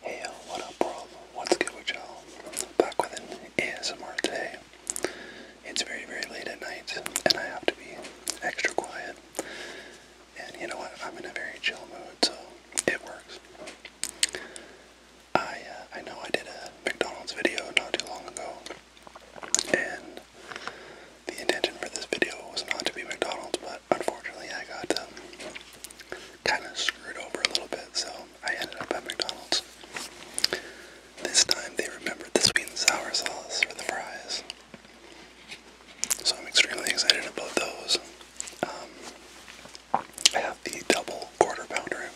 Hey, what up world? What's good with y'all? Back with an ASMR today. It's very, very late at night, and I have to be extra quiet. And you know what? I'm in a very chill mood, so it works. I uh, I know I did a McDonald's video not too long ago, and the intention for this video was not to be McDonald's, but unfortunately I got um, kind of screwed over a little bit, so I ended up at McDonald's. This time they remembered the sweet and sour sauce for the fries. So I'm extremely excited about those. Um, I have the double quarter pounder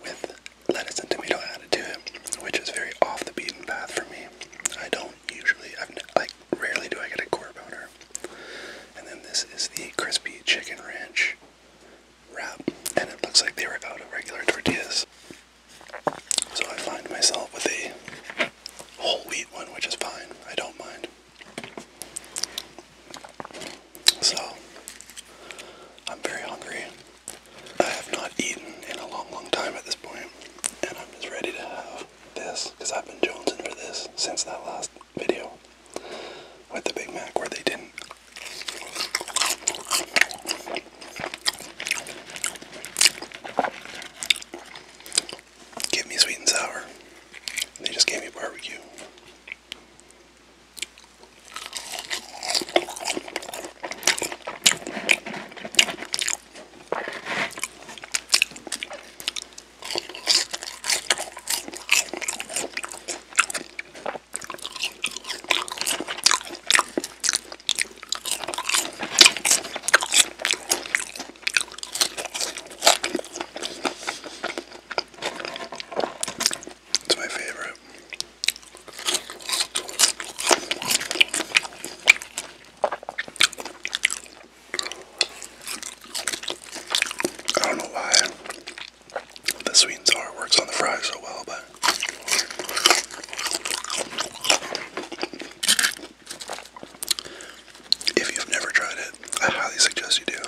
with lettuce and tomato added to it, which is very off the beaten path for me. I don't usually, I've like Rarely do I get a core boner. And then this is the crispy chicken ranch wrap, and it looks like they were out of regular tortillas. So I find myself with a whole wheat one, which is fine. I don't mind. So I'm very hungry. I have not eaten in a long, long time at this point, and I'm just ready to have this because I've been jonesing for this since that last video with the Big Mac where they didn't. Give me sweet and sour. They just gave me barbecue. It's my favorite. I don't know why the sweet and sour works on the fries so well, but if you've never tried it, I highly suggest you do.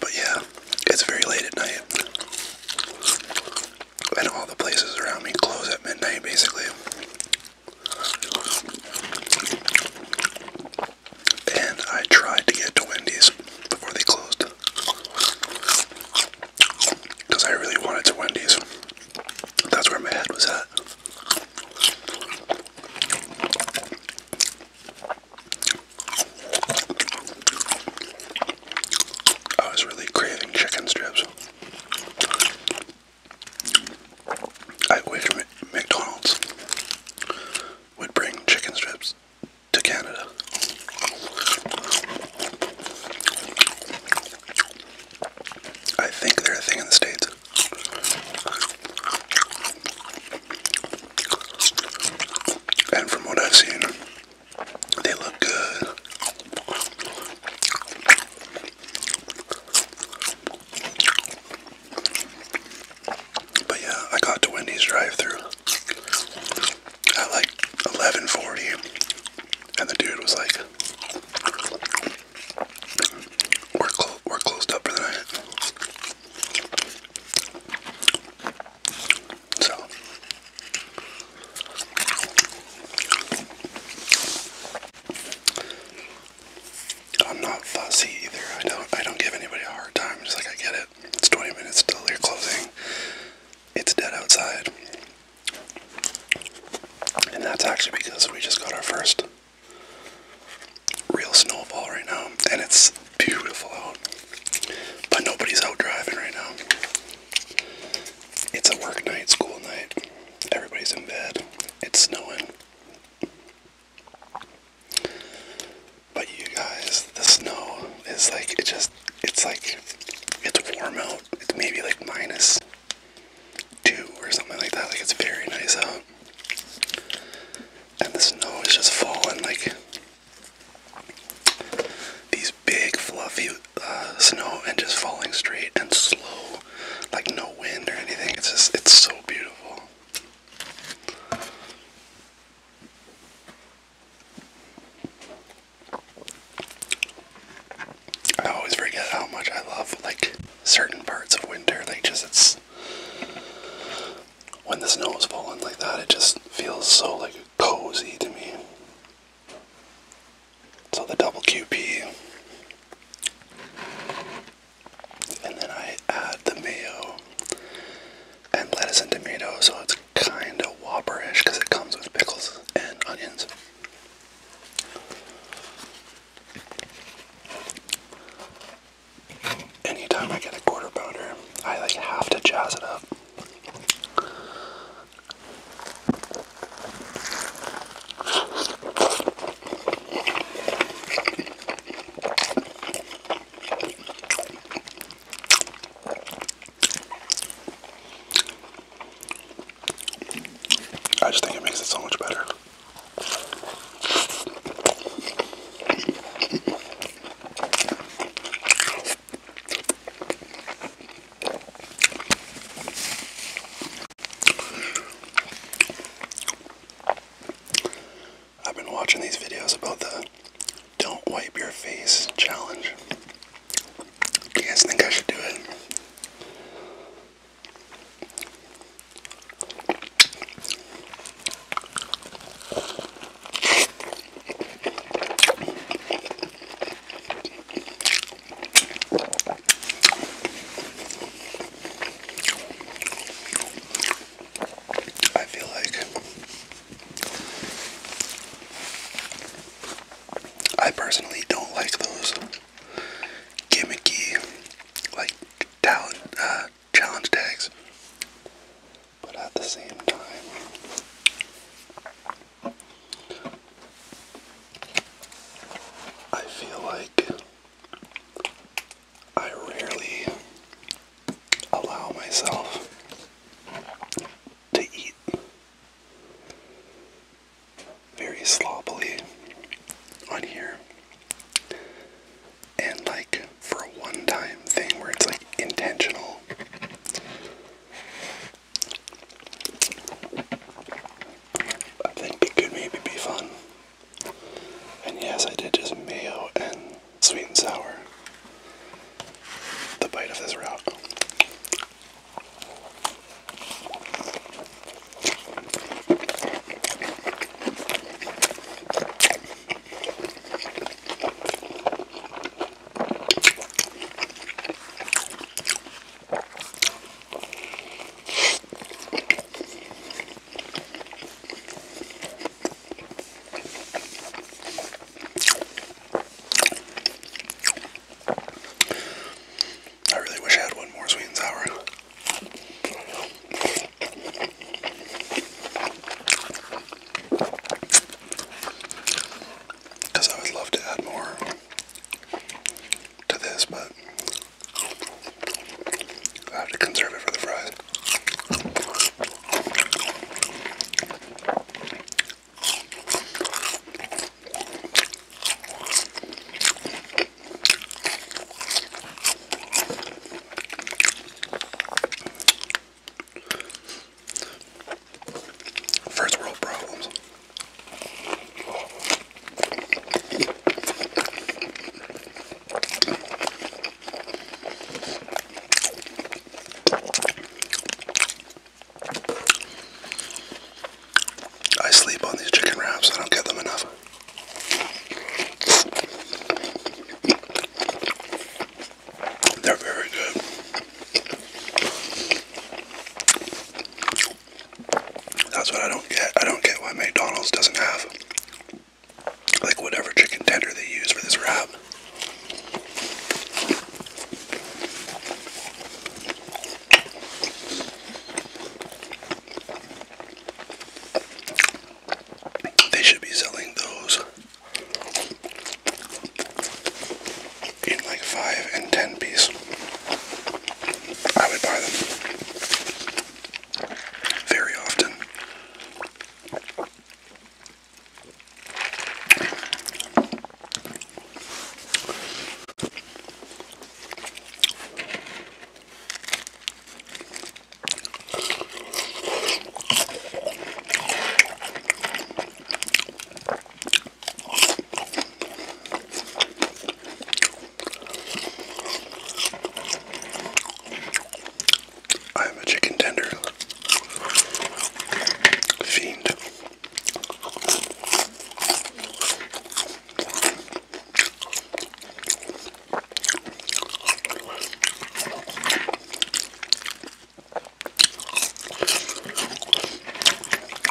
But yeah, it's very late at night. And all the places around me close at midnight basically. And I tried to get to Wendy's before they closed because I really wanted to Wendy's. That's where my head was at. I was really craving chicken strips. I wish McDonald's would bring chicken strips to Canada. I think they're a thing in the States. And from what I've seen, they look good. But yeah, I got to Wendy's drive through at like 11:40, and the dude was like, "We're we're closed up for the night." So I'm not fussy either. I don't I don't give anybody a hard time. just like I get it. It's 20 minutes till you're closing. It's dead outside. And that's actually because we just got our first real snowfall right now. And it's beautiful out. But nobody's out driving right now. It's a work night, school night. Everybody's in bed. It's snowing. But you guys, the snow is like, it just, it's like, it's warm out. It's maybe like minus two or something like that. Like it's very nice out. And the snow is just falling like these big fluffy uh, snow and just falling straight and slow, like no wind or anything. It's just, it's so beautiful. I always forget how much I love like certain parts of winter. Like just it's when the snow is falling like that, it just feels so like cozy to me. So the double QP. And then I add the mayo and lettuce and tomato, so it's kind of whopperish because it comes with pickles and onions. Anytime I get a quarter pounder, I like have to jazz it up. I just think it makes it so much better. I've been watching these videos about the don't wipe your face challenge. Do you guys think I should do it? I feel like I personally don't like those gimmicky, like talent uh, challenge tags, but at the same time, I feel like I rarely allow myself to eat very sloppily on here. And like for a one time thing where it's like intentional. I think it could maybe be fun. And yes, I did just mayo and sweet and sour. The bite of this route. I really wish I had one more sweet and sour. Because I would love to add more to this, but I have to conserve it for the fries. First world problems. I sleep on these chicken wraps. I don't get them enough. They're very good. That's what I don't get. I don't get why McDonald's doesn't have like whatever chicken tender they use for this wrap. They should be selling those in like five and ten piece. I would buy them very often. I am a chicken tender fiend.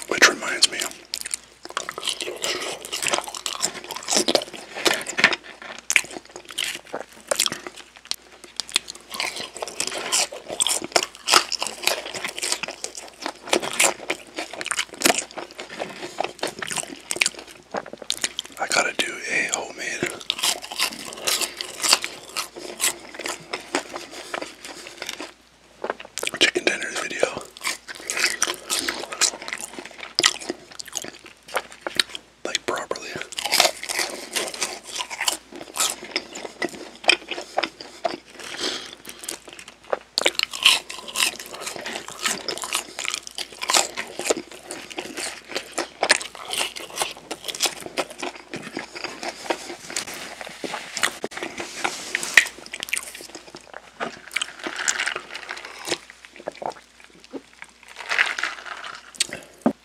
Which reminds me, I gotta do a homemade oh, chicken dinners video. Like properly.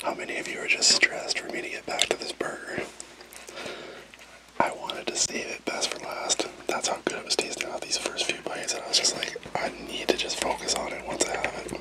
How many of you are just stressed for me to get back to this burger? I wanted to save it best for last. That's how good it was tasting out these first few bites, and I was just like, I need to just focus on it once I have it.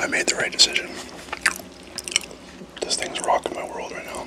I made the right decision. This thing's rocking my world right now.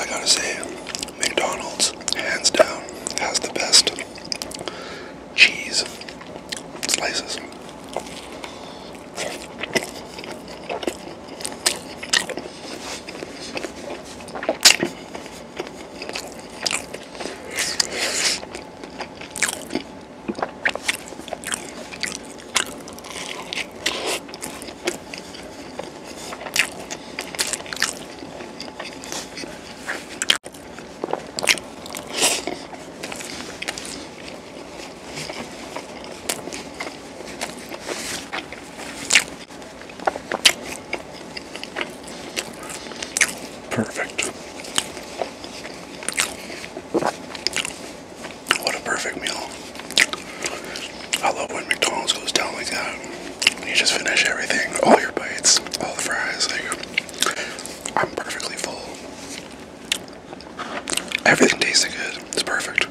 I gotta say, McDonald's, hands down, has the best cheese slices perfect. What a perfect meal. I love when McDonald's goes down like that. You just finish everything, all your bites, all the fries. Like, I'm perfectly full. Everything tastes good. It's perfect.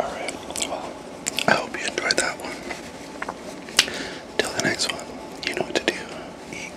All right. Well, I hope you enjoyed that one. Till the next one, you know what to do. Eat